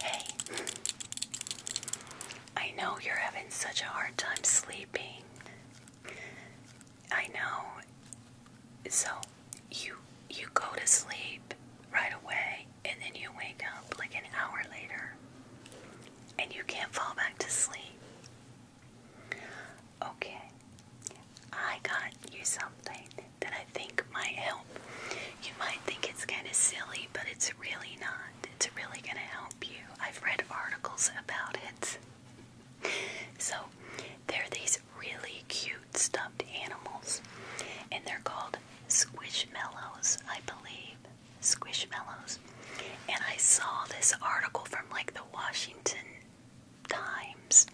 Hey, I know you're having such a hard time sleeping. I know. So you you go to sleep right away and then you wake up like an hour later and you can't fall back to sleep. Okay. I got you something that I think might help. You might think it's kind of silly, but it's really not. It's really going to help you. I've read articles about it. So, they're these really cute stuffed animals, and they're called squishmallows, I believe. Squishmallows. And I saw this article from like the Washington Times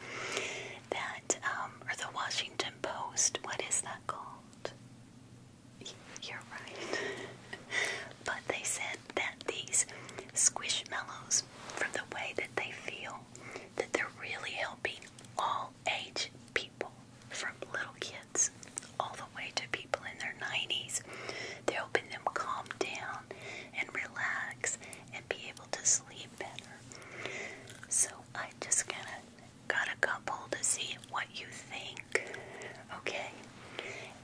that, um, or the Washington Post, what is that called? You're right. but they said that these squishmallows, from the way that they feel, that they're really helping all age people, from little kids all the way to people in their 90s. They're helping them calm down and relax and be able to sleep better. So I just kind of got a couple to see what you think. Okay,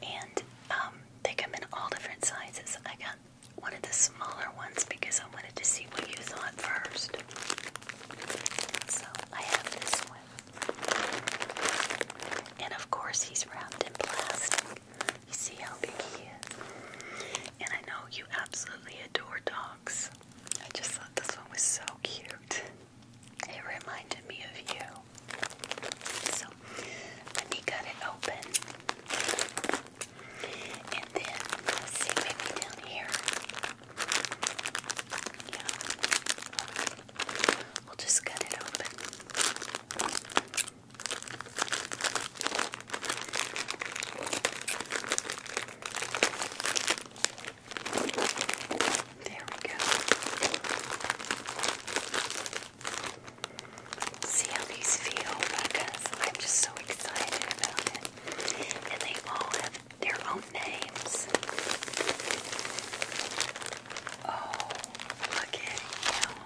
and um, they come in all different sizes. I got one of the smaller ones because I wanted to see what you thought first. So I have this one, and of course he's wrapped in plastic. You see how big he is, and I know you absolutely adore dogs. I just thought this one was so cute. It reminded me of you. So, let me cut it open. And then, let's see, maybe down here. We'll just cut it open. There we go. See how these feel because I'm just so excited about it. And they all have their own names. Oh, look at him.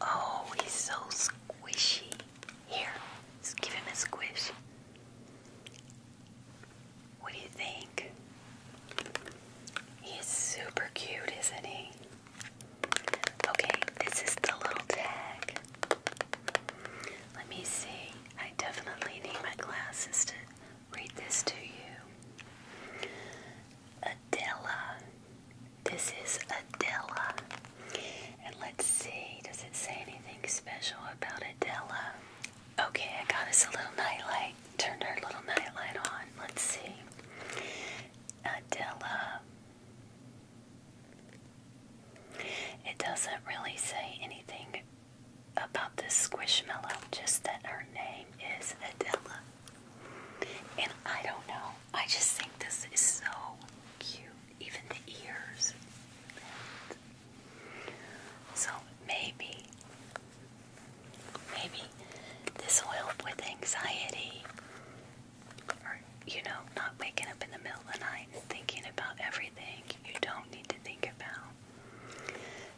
Oh, he's so squishy. Here, give him a squish. What do you think? He's super cute, isn't he? Okay, this is the little tag. Let me see. I definitely need my glasses to read this to you. Adela. This is Adela. And let's see, does it say anything special about Adela? Okay, I got us a little nightlight. Turned our little nightlight on. Let's see. Adela. It doesn't really say anything about this squishmallow, just that her name is Adela. And I don't know, I just think this is so cute, even the ears. So maybe, maybe this will help with anxiety. Or, you know, not waking up in the middle of the night and thinking about everything you don't need to think about.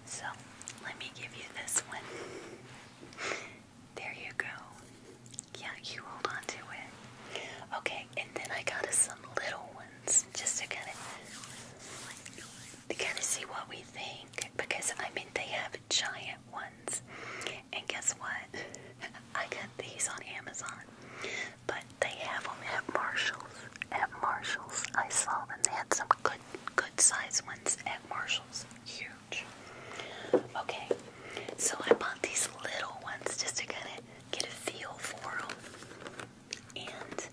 So let me give you this one. There you go. Yeah, you hold on it. Okay, and then I got some little ones just to kind of to kind of see what we think because I mean they have giant ones, and guess what? I got these on Amazon, but they have them at Marshalls. At Marshalls, I saw them. They had some good good good size ones at Marshalls. Huge. Okay, so I bought these little ones just to kind of get a feel for them. And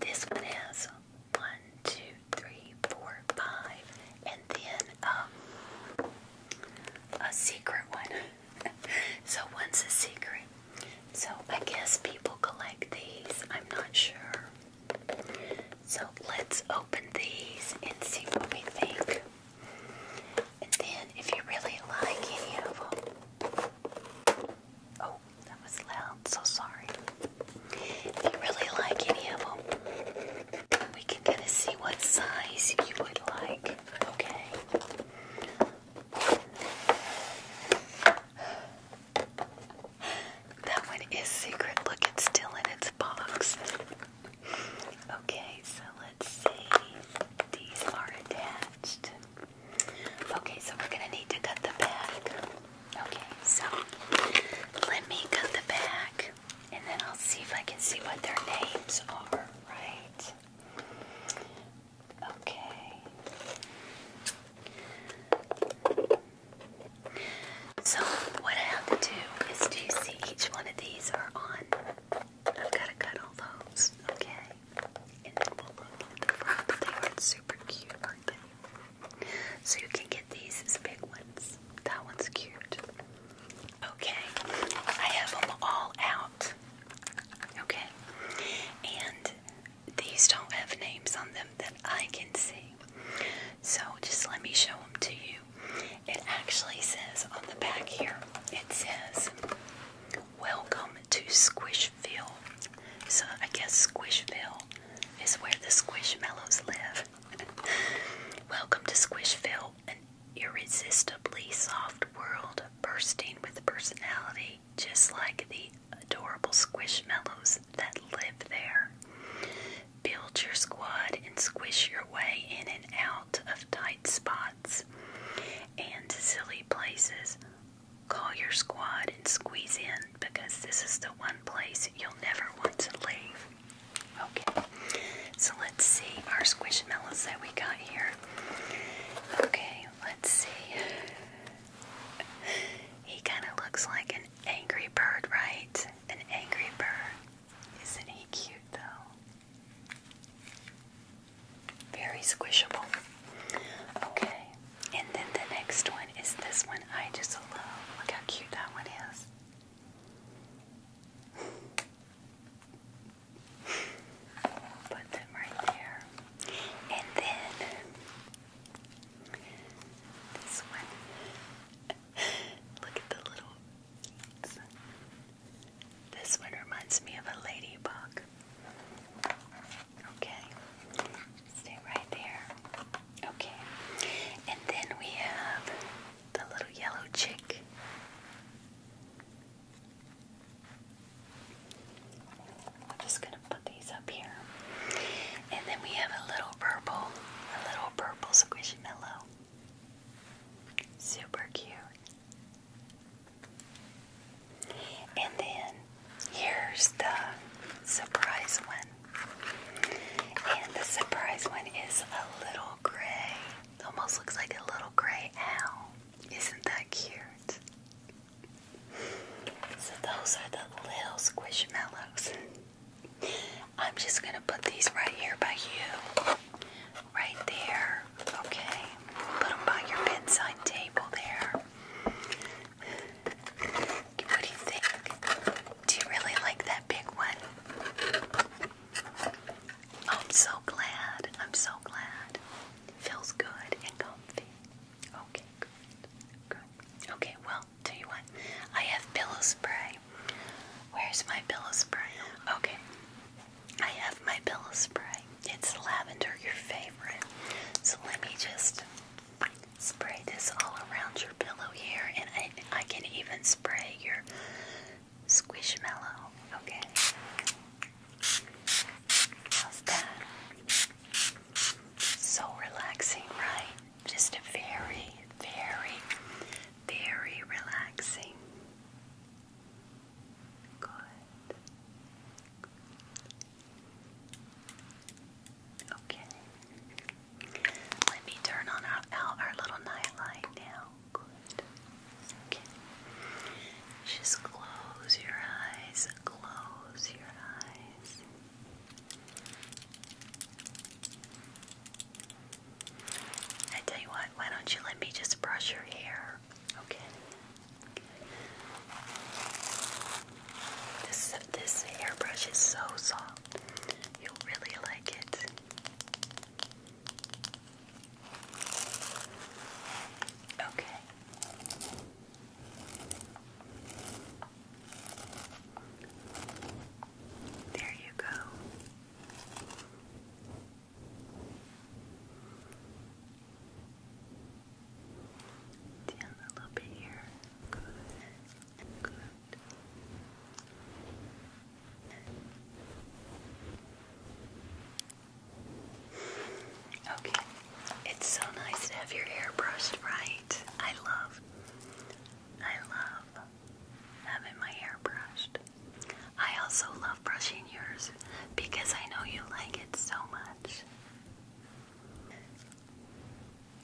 this one has one, two, three, four, five, and then um, a secret one. so one's a secret, so I guess people collect these. I'm not sure. So let's open these and see what we think. And then if you really like any of them. Oh, that was loud. So sorry. If you really like any of them, we can kind of see what size you would like. Okay that one is secret. Look, it's still in its box. Okay, so let's see. These are attached. Okay, so we're going to need to cut the back. Okay, so let me cut the back and then I'll see if I can see what their names are, right? Okay. So, what I have to do is do you each one of these are on? I've got to cut all those, okay? And we'll look at the front. They are super cute, aren't they? So, you can get these as big ones. That one's cute. Okay, I have them all out. Okay, and these don't have names on them that I can see. So just let me show them to you. It actually says on the back here, it says, Welcome to Squishville. So I guess Squishville is where the Squishmallows live. Welcome to Squishville, an irresistibly soft world bursting with personality just like the adorable squishmallows that live there. Build your squad and squish your way in and out of tight spots and silly places. Call your squad and squeeze in because this is the one place you'll never want to leave. Okay, so let's see our squishmallows that we got here. Okay, let's see. He kind of looks like an angry bird, right? An angry bird. Isn't he cute, though? Very squishable. Okay, and then the next one is this one I just love. Look how cute that one is. Put them right there. And then this one. Look at the little This one reminds me of a ladybug. Okay. Stay right there. Okay. And then we have the little yellow chick. I'm just gonna put these up here. And then we have a little purple, a little purple squishy mellow. Super cute. And then here's the surprise one. And the surprise one is a little gray. It almost looks like a little gray owl. Isn't that cute? So those are the little squishmallows. I'm just gonna put these right here by you. Right there. Okay. Put by your bedside table there. What do you think? Do you really like that big one? I'm so glad. I'm so glad. Feels good and comfy. Okay, good. Good. Okay, well, tell you what, I have pillow spray. Where's my pillow spray? Okay. I have my pillow spray. It's lavender, your favorite. So let me just spray this all around your pillow here, and I can even spray your Squishmallow. Okay. How's that? So relaxing, right? Just a very, very, very relaxing. Good. Okay. Let me turn on our, our little nightlight now. Okay. Just close your eyes. Close your eyes. I tell you what, why don't you let me just brush your hair? Okay. This this is so soft. You'll really like it. Okay. There you go. Down a little bit here. Good. Good. Okay. It's so nice to have your hair brushed right. I love, I love having my hair brushed. I also love brushing yours because I know you like it so much.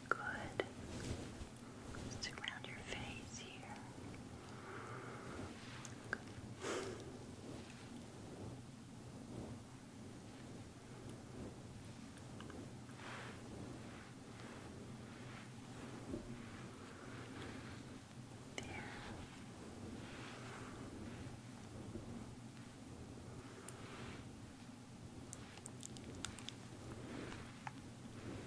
Good. Just around your face here. Good.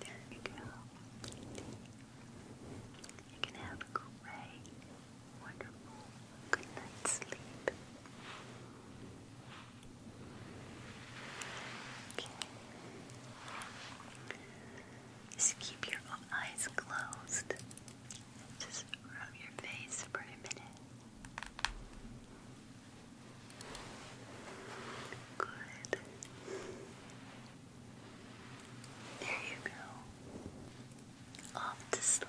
There you go. You can have a great, wonderful, good night's sleep. Okay. Just keep your eyes closed. Just rub your face for a minute. Good. There you go. Off to sleep.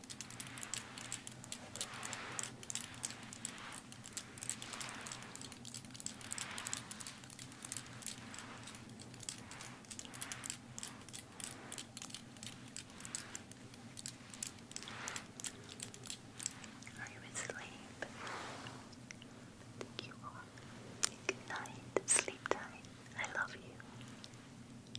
Are you asleep? I you Good night. Sleep tight. I love you.